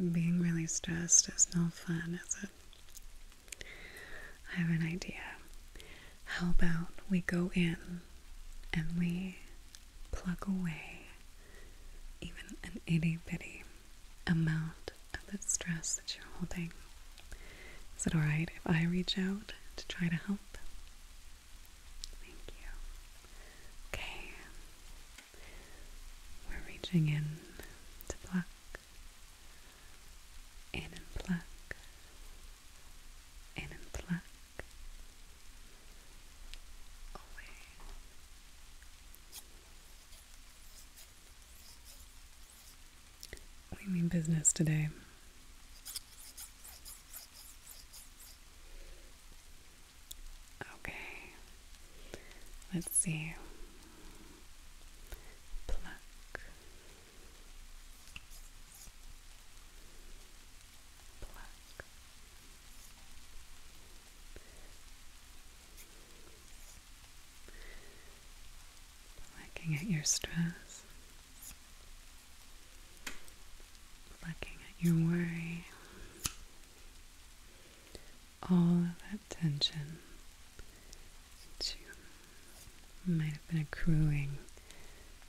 Being really stressed is no fun, is it? I have an idea. How about we go in and we pluck away even an itty bitty amount of the stress that you're holding? Is it alright if I reach out to try to help? Thank you. Okay. We're reaching in to pluck. In and pluck. In and pluck. Away. We mean business today. Okay. Let's see. Pluck. Pluck. Plucking at your stress looking at your worry, all of that tension that you might have been accruing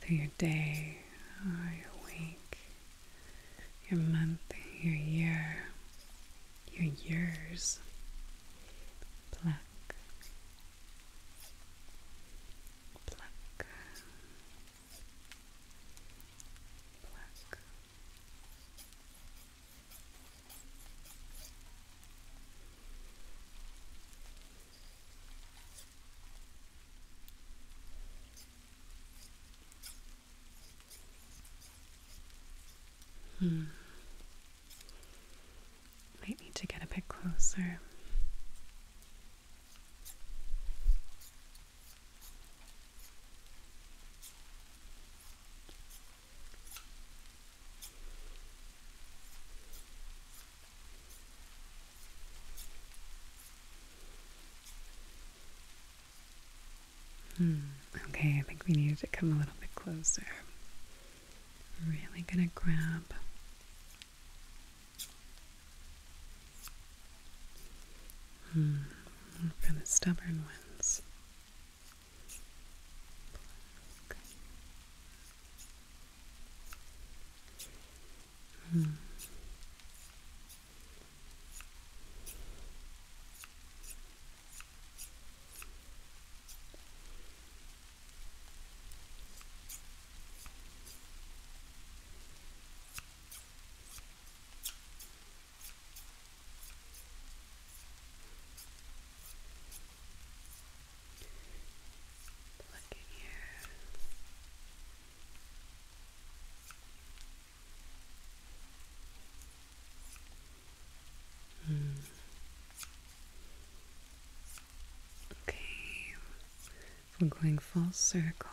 through your day or uh, your week, your month, your year, your years. Pluck, pluck, Hmm. Might need to get a bit closer. Hmm. Okay, I think we need to come a little bit closer. Really gonna grab Hmm, kind stubborn ones. Hmm. Look in here. Hmm. Okay. We're going full circle.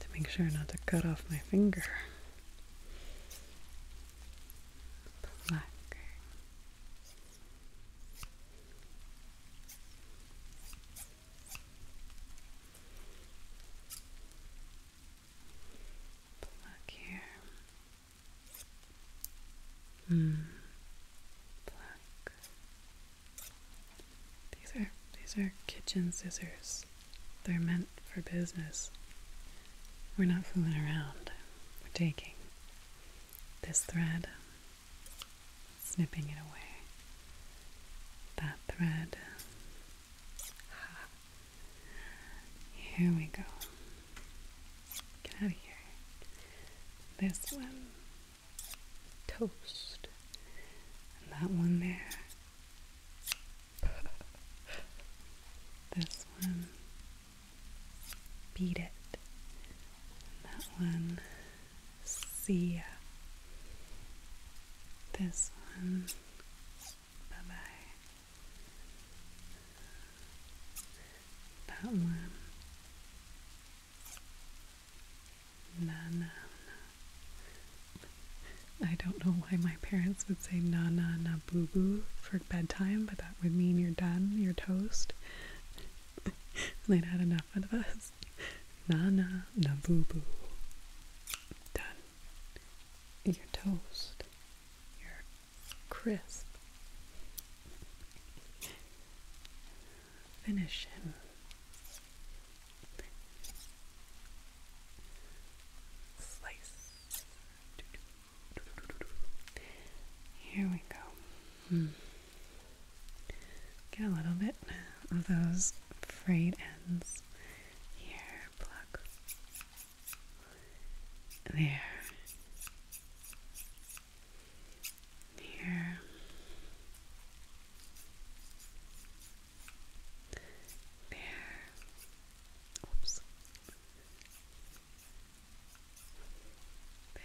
To make sure not to cut off my finger. Black here. Mm. Black. These are these are kitchen scissors. They're meant for business. We're not fooling around. We're taking this thread snipping it away. That thread. Here we go. Get out of here. This one. Toast. And that one there. this one. Beat it. And that one. See ya. This one. Bye bye. That one. No, no, no. I don't know why my parents would say na na na boo boo for bedtime, but that would mean you're done, you're toast. They'd had enough of us. Na na Nana Nabubu. Done. Your toast. Your crisp. Finish him. Slice. Here we go. Hmm. Get a little bit of those freight ends. Here, There. Here. There. Oops. There.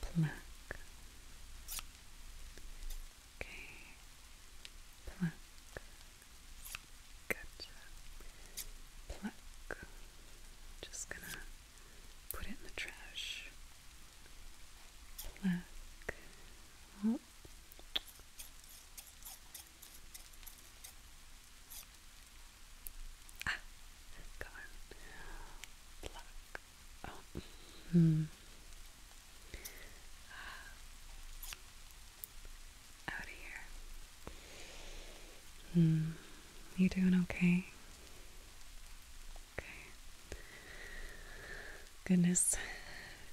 Pluck. Pluck. Okay. Pluck. Gotcha. Pluck. Just gonna put it in the trash. Black. Oh. Ah, gone. Black. Oh. Hmm. Ah. Out of here. Hmm. You doing okay? Okay. Goodness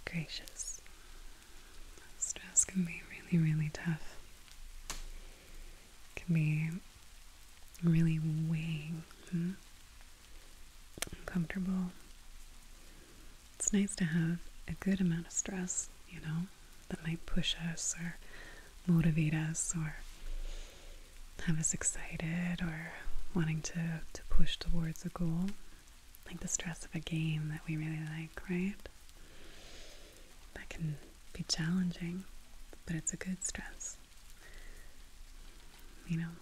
gracious. Stress can be really, really tough. can be really weighing, hmm? uncomfortable. It's nice to have a good amount of stress, you know, that might push us or motivate us or have us excited or wanting to, to push towards a goal. Like the stress of a game that we really like, right? That can be challenging, but it's a good stress. You know?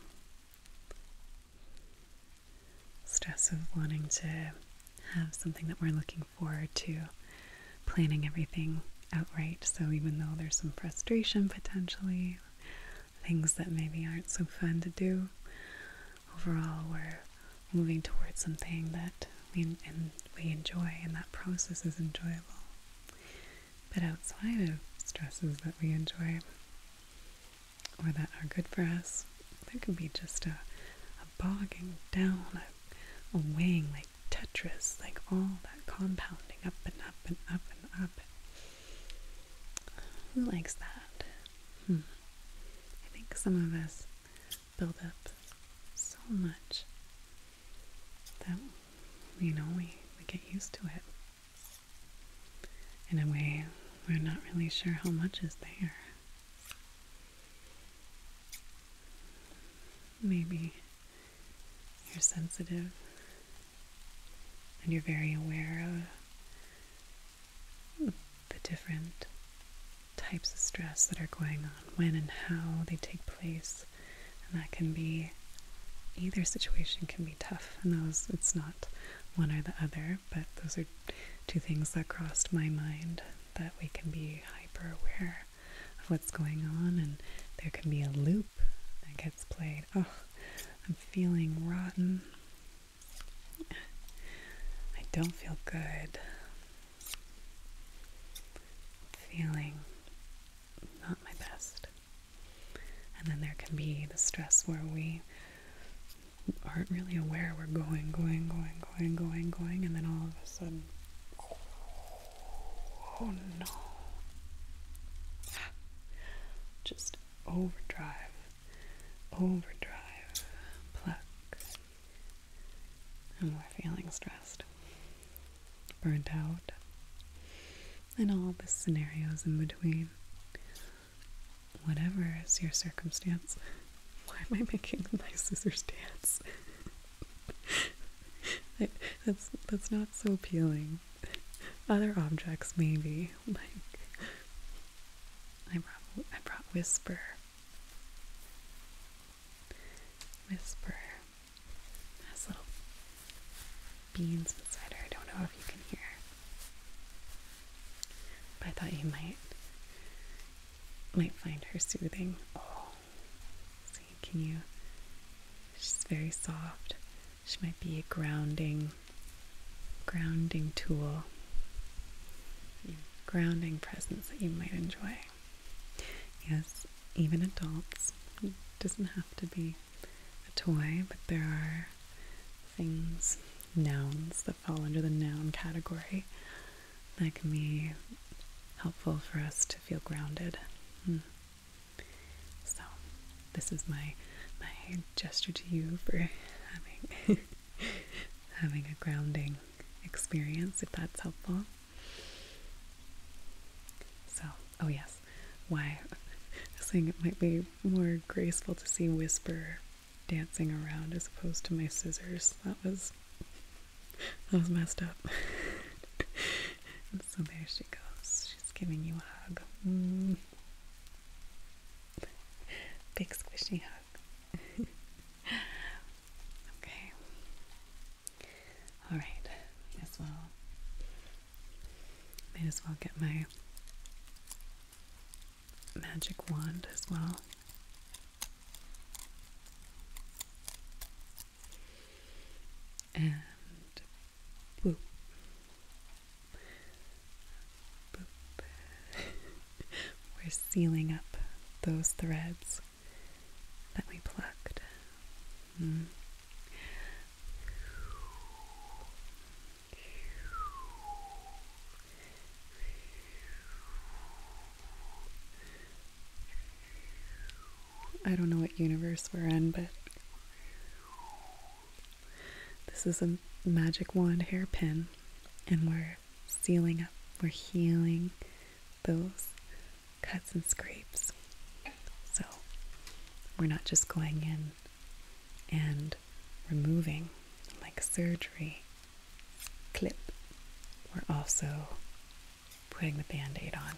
Stress of wanting to have something that we're looking forward to, planning everything outright. So even though there's some frustration potentially, things that maybe aren't so fun to do, overall we're moving towards something that we and we enjoy, and that process is enjoyable. But outside of stresses that we enjoy or that are good for us, there could be just a, a bogging down, a, a weighing, like Tetris, like all that compounding up and up and up and up. Who likes that? Hmm. I think some of us build up so much that, you know, we, we get used to it. In a way, we're not really sure how much is there maybe you're sensitive and you're very aware of the different types of stress that are going on, when and how they take place. And that can be either situation can be tough, and those it's not one or the other, but those are two things that crossed my mind that we can be hyper aware of what's going on, and there can be a loop that it's played. Oh, I'm feeling rotten. I don't feel good. feeling not my best. And then there can be the stress where we aren't really aware we're going, going, going, going, going, going, and then all of a sudden Oh no. Just overdrive, overdrive, pluck. And we're feeling stressed, burnt out, and all the scenarios in between. Whatever is your circumstance. Why am I making my scissors dance? that's that's not so appealing other objects maybe. Like I brought I brought Whisper. Whisper has little beans inside her. I don't know if you can hear. But I thought you might might find her soothing. Oh, can you? She's very soft. She might be a grounding, grounding tool, grounding presence that you might enjoy. Yes, even adults. It doesn't have to be a toy, but there are things, nouns that fall under the noun category that can be helpful for us to feel grounded. Hmm. So this is my my gesture to you for having having a grounding experience if that's helpful. So, oh yes, why I was saying it might be more graceful to see Whisper dancing around as opposed to my scissors. That was that was messed up. So there she goes. She's giving you a hug. Mm. Big squishy hug. okay. All right. May as well. May as well get my magic wand as well and boop, boop. We're sealing up those threads that we plucked. Hmm. I don't know what universe we're in, but this is a magic wand hairpin, and we're sealing up, we're healing those cuts and scrapes. So we're not just going in and removing like surgery, clip, we're also putting the band aid on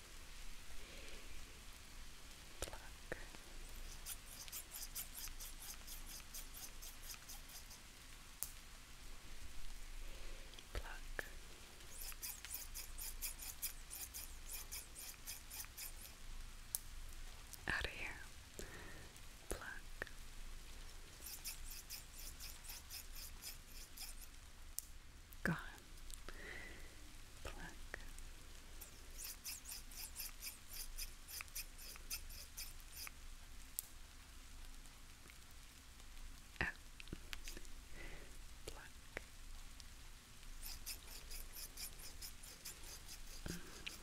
Pluck. Pluck. Out of here. Pluck. Gone pluck oh.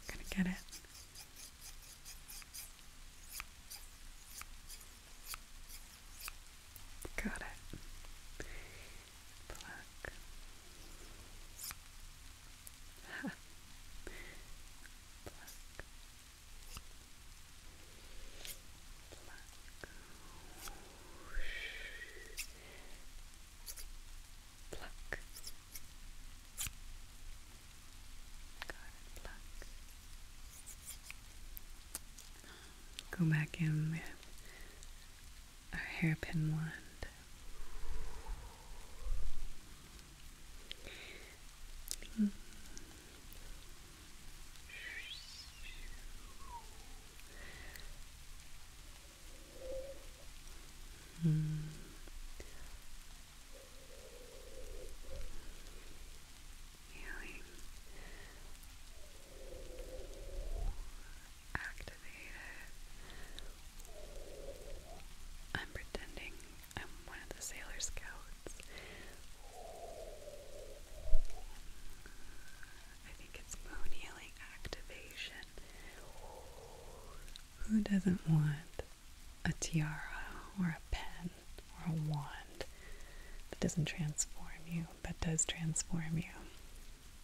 gonna get it. Got it. Pluck. Go back in a hairpin wand. Mm. Healing activated. I'm pretending I'm one of the Sailor Scouts. I think it's moon healing activation. Who doesn't want a tiara or a pen or a wand that doesn't transform you but does transform you?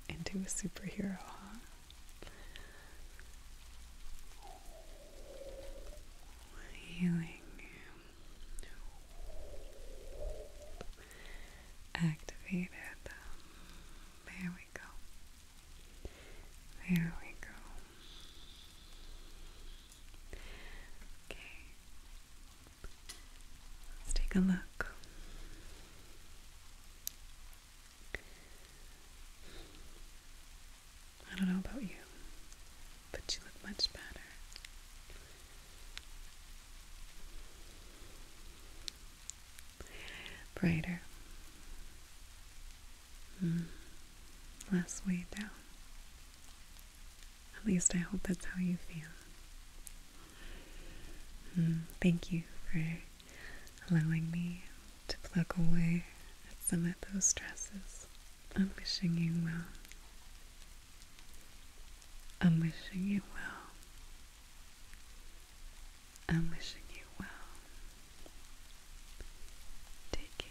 into a superhero, huh? Healing, activated. There we go. There we go. Okay, let's take a look. I don't know about you, but you look much better. Brighter. Hmm. Less weight down. At least I hope that's how you feel. Hmm. Thank you for allowing me to pluck away at some of those stresses. I'm wishing you well. I'm wishing you well. I'm wishing you well. Take care.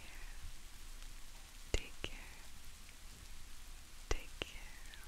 Take care. Take care.